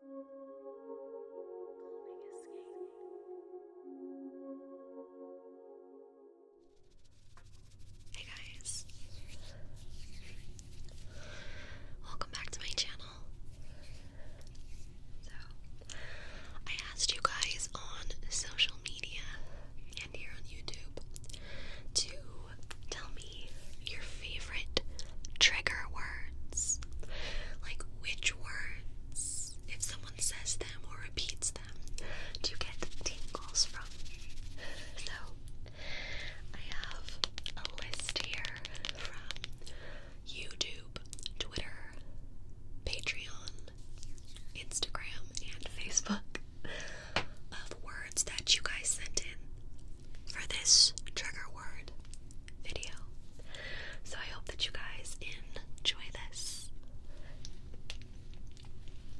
Hey guys, welcome back to my channel. So, I asked you guys on social media and here on YouTube to tell me your favorite trigger words. Like which words, if someone says them or repeats them, do you get tingles from? So I have a list here from YouTube, Twitter, Patreon, Instagram, and Facebook of words that you guys sent in for this trigger word video. So I hope that you guys enjoy this.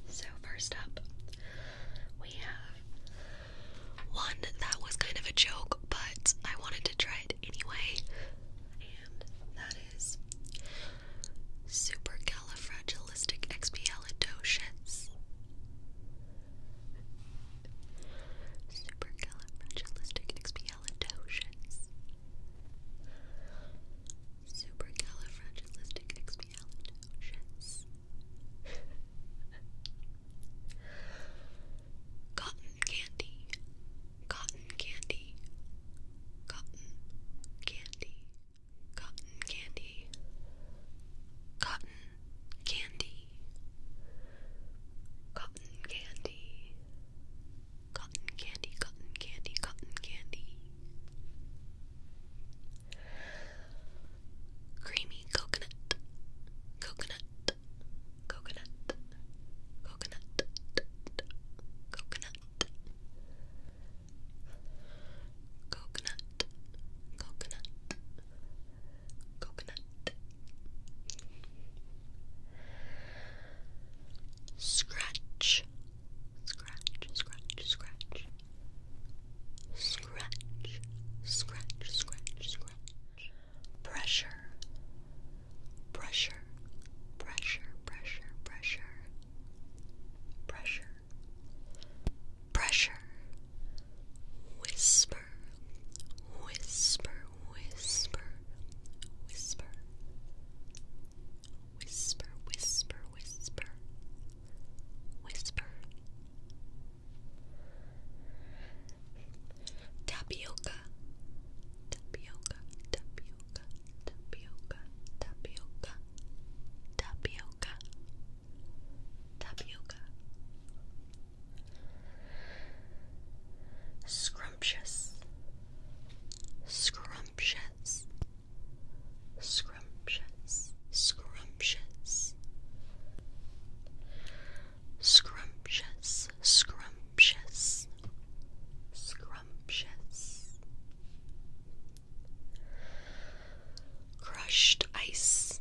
So, first up, we have one that was kind of a joke, but I wanted to try it anyway, and that is supercalifragilisticexpialidocious. Supercalifragilisticexpialidocious. Supercalifragilisticexpialidocious. Cotton candy. Cotton candy. Cotton candy. Cotton candy. Cotton candy cotton candy, cotton candy, cotton candy, cotton candy, creamy coconut, coconut, coconut, coconut, coconut. Coconut, coconut, coconut, coconut. Scratch, scratch, scratch, scratch, scratch, scratch, scratch, scratch. Pressure, pressure, pressure, pressure, pressure, pressure, pressure. Whisper whisper, whisper, whisper, whisper, whisper, whisper, whisper, whisper. Tapioca, tapioca, tapioca, tapioca, tapioca, tapioca, tapioca, Scrumptious, scrumptious, scrumptious, scrumptious, scrumptious, scrumptious, scrumptious. Crushed ice,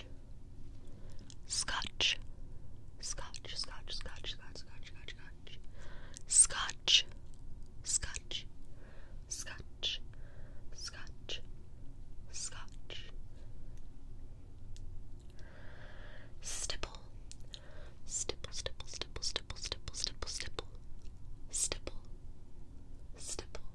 Scotch. Scotch. Scotch, Scotch, Scotch, Scotch, Scotch, Scotch, Scotch. Scotch. Scotch. Scotch. Scotch. Scotch. Stipple. Stipple, stipple, stipple, stipple, stipple, stipple, stipple. Stipple. Stipple.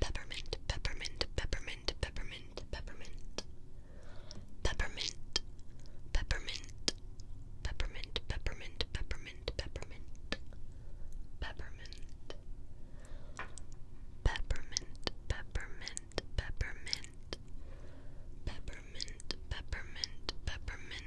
peppermint, peppermint, peppermint, peppermint, peppermint, peppermint, peppermint, peppermint, peppermint, peppermint, peppermint, peppermint, peppermint, peppermint, peppermint, peppermint, peppermint, peppermint.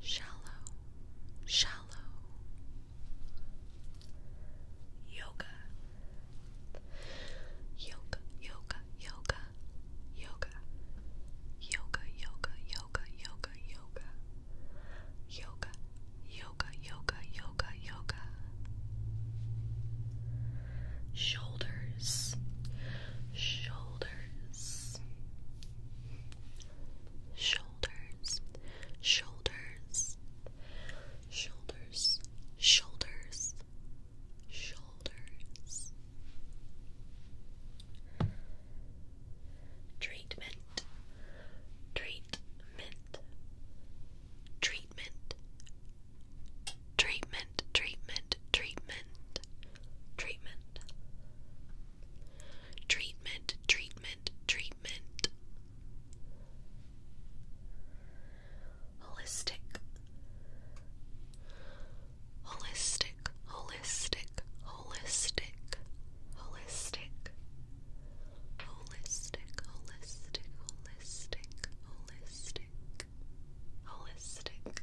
shallow, shallow. Yoga, yoga, yoga, yoga, yoga, yoga, yoga, yoga, yoga, yoga, yoga, yoga, yoga, yoga, yoga. Shoulders, shoulders, shoulders, shoulders, shoulders, shoulders, shoulders. Treatment, treatment, treatment, treatment, treatment, treatment, treatment. Treatment, treatment, treatment. Holistic. Holistic, holistic, holistic, holistic. Holistic, holistic, holistic, holistic, holistic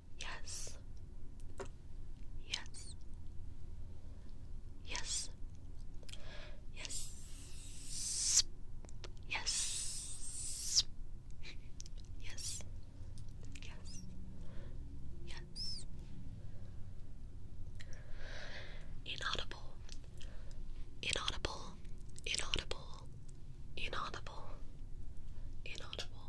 Yes. Yes. Yes. Yes. Yes. Yes. Yes. Yes. Inaudible. Inaudible. Inaudible. Inaudible. Inaudible.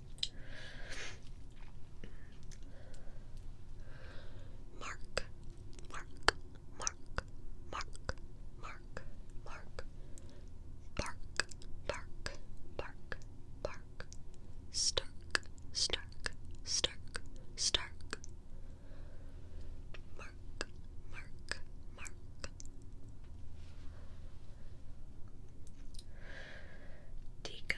Mark, mark, mark, mark, mark, mark, bark, bark, bark, bark, stark, stark, stark, stark, mark, mark, mark. Tika,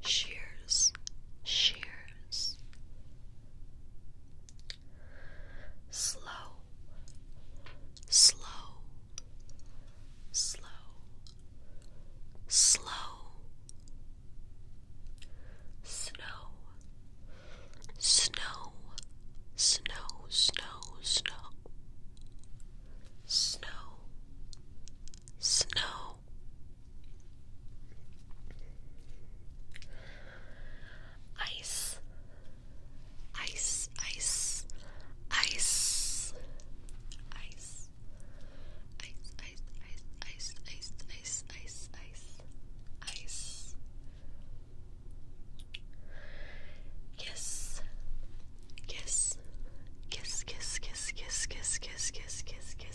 shears, shears. Slow, slow, slow, slow. Snow, snow, snow, snow, snow. Snow, snow. Ice, ice, ice, ice, ice, ice, ice, ice, ice, ice, ice, ice, ice. Kiss, kiss, kiss, kiss, kiss, kiss, kiss, kiss, kiss, kiss, kiss,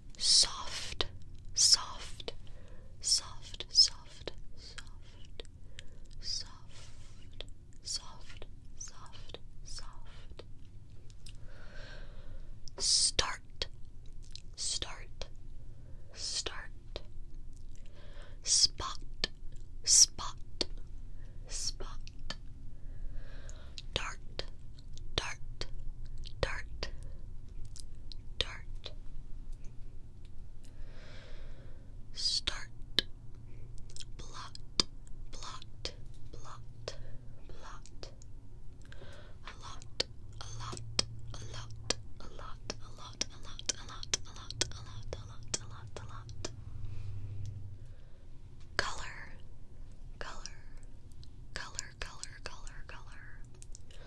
soft, soft, soft, soft, soft, soft, soft, soft, soft. Start, start, start. Spot, spot, spot. Dart, dart, dart, Dart. Start. Blot. Blot. Blot. Blot. A lot. A lot. A lot. A lot. A lot. A lot. A lot. A lot. A lot. A lot. A lot. A lot. Color. Color. Color. Color. Color. Color.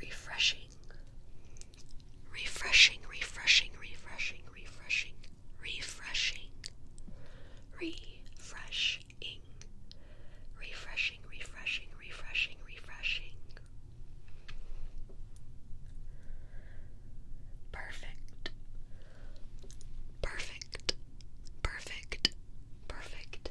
refreshing, refreshing, refreshing, refreshing, refreshing, refreshing, refreshing, refreshing, refreshing, refreshing, refreshing. Perfect. Perfect. Perfect. Perfect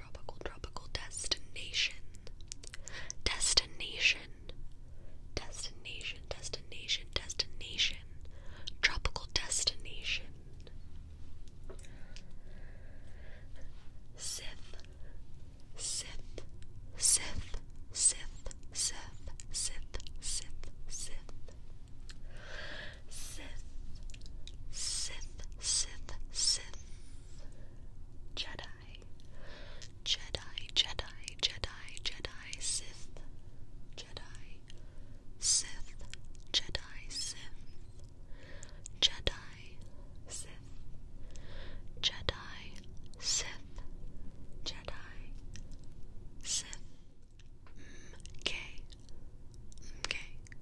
tropical, tropical destination. Destination. Destination, destination, destination. Tropical destination. Sith. Sith. Sith. Sith. Sith. Sith. Sith. Sith. Sith, Sith, Sith, Sith, Jedi, Jedi, Jedi, Jedi, Jedi, Sith, Jedi, Sith, Jedi, Sith, Jedi, Sith, Jedi, Sith, Jedi, Sith. Mm, okay. Okay.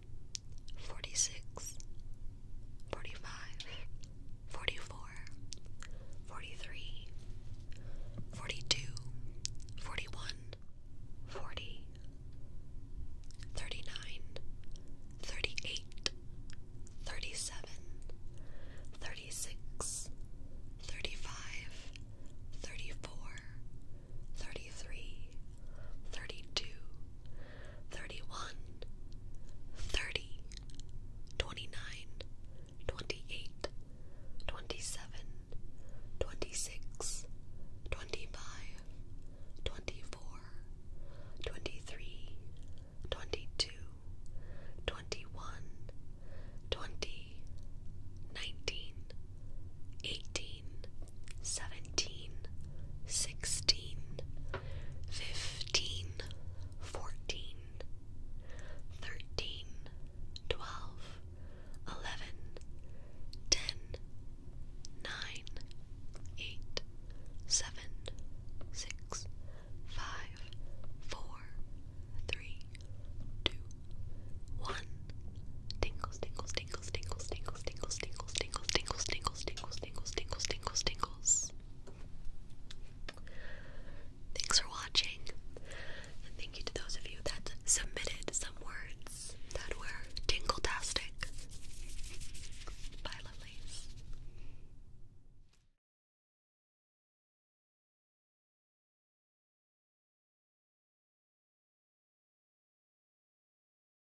46, 45, 44, 43, 42, 41, 40, 39, 38, 37, 36, 35, 34, 32, 31, 28, 27, 26, 25, 24, 23, 22, 21, 19, 18, seventeen, sixteen, fifteen, fourteen, thirteen, twelve, eleven, ten, nine, eight, seven, six, five, four, three, two, one. Tingles, tingles, tingles tingles, tingles, tingles, tingles, tingles, tingles, tingles, tingles, tingles, tingles, tingles, tingles, Thanks for watching, and thank you to those of you that submitted some words that were tingle-tastic. Bye, lovelies.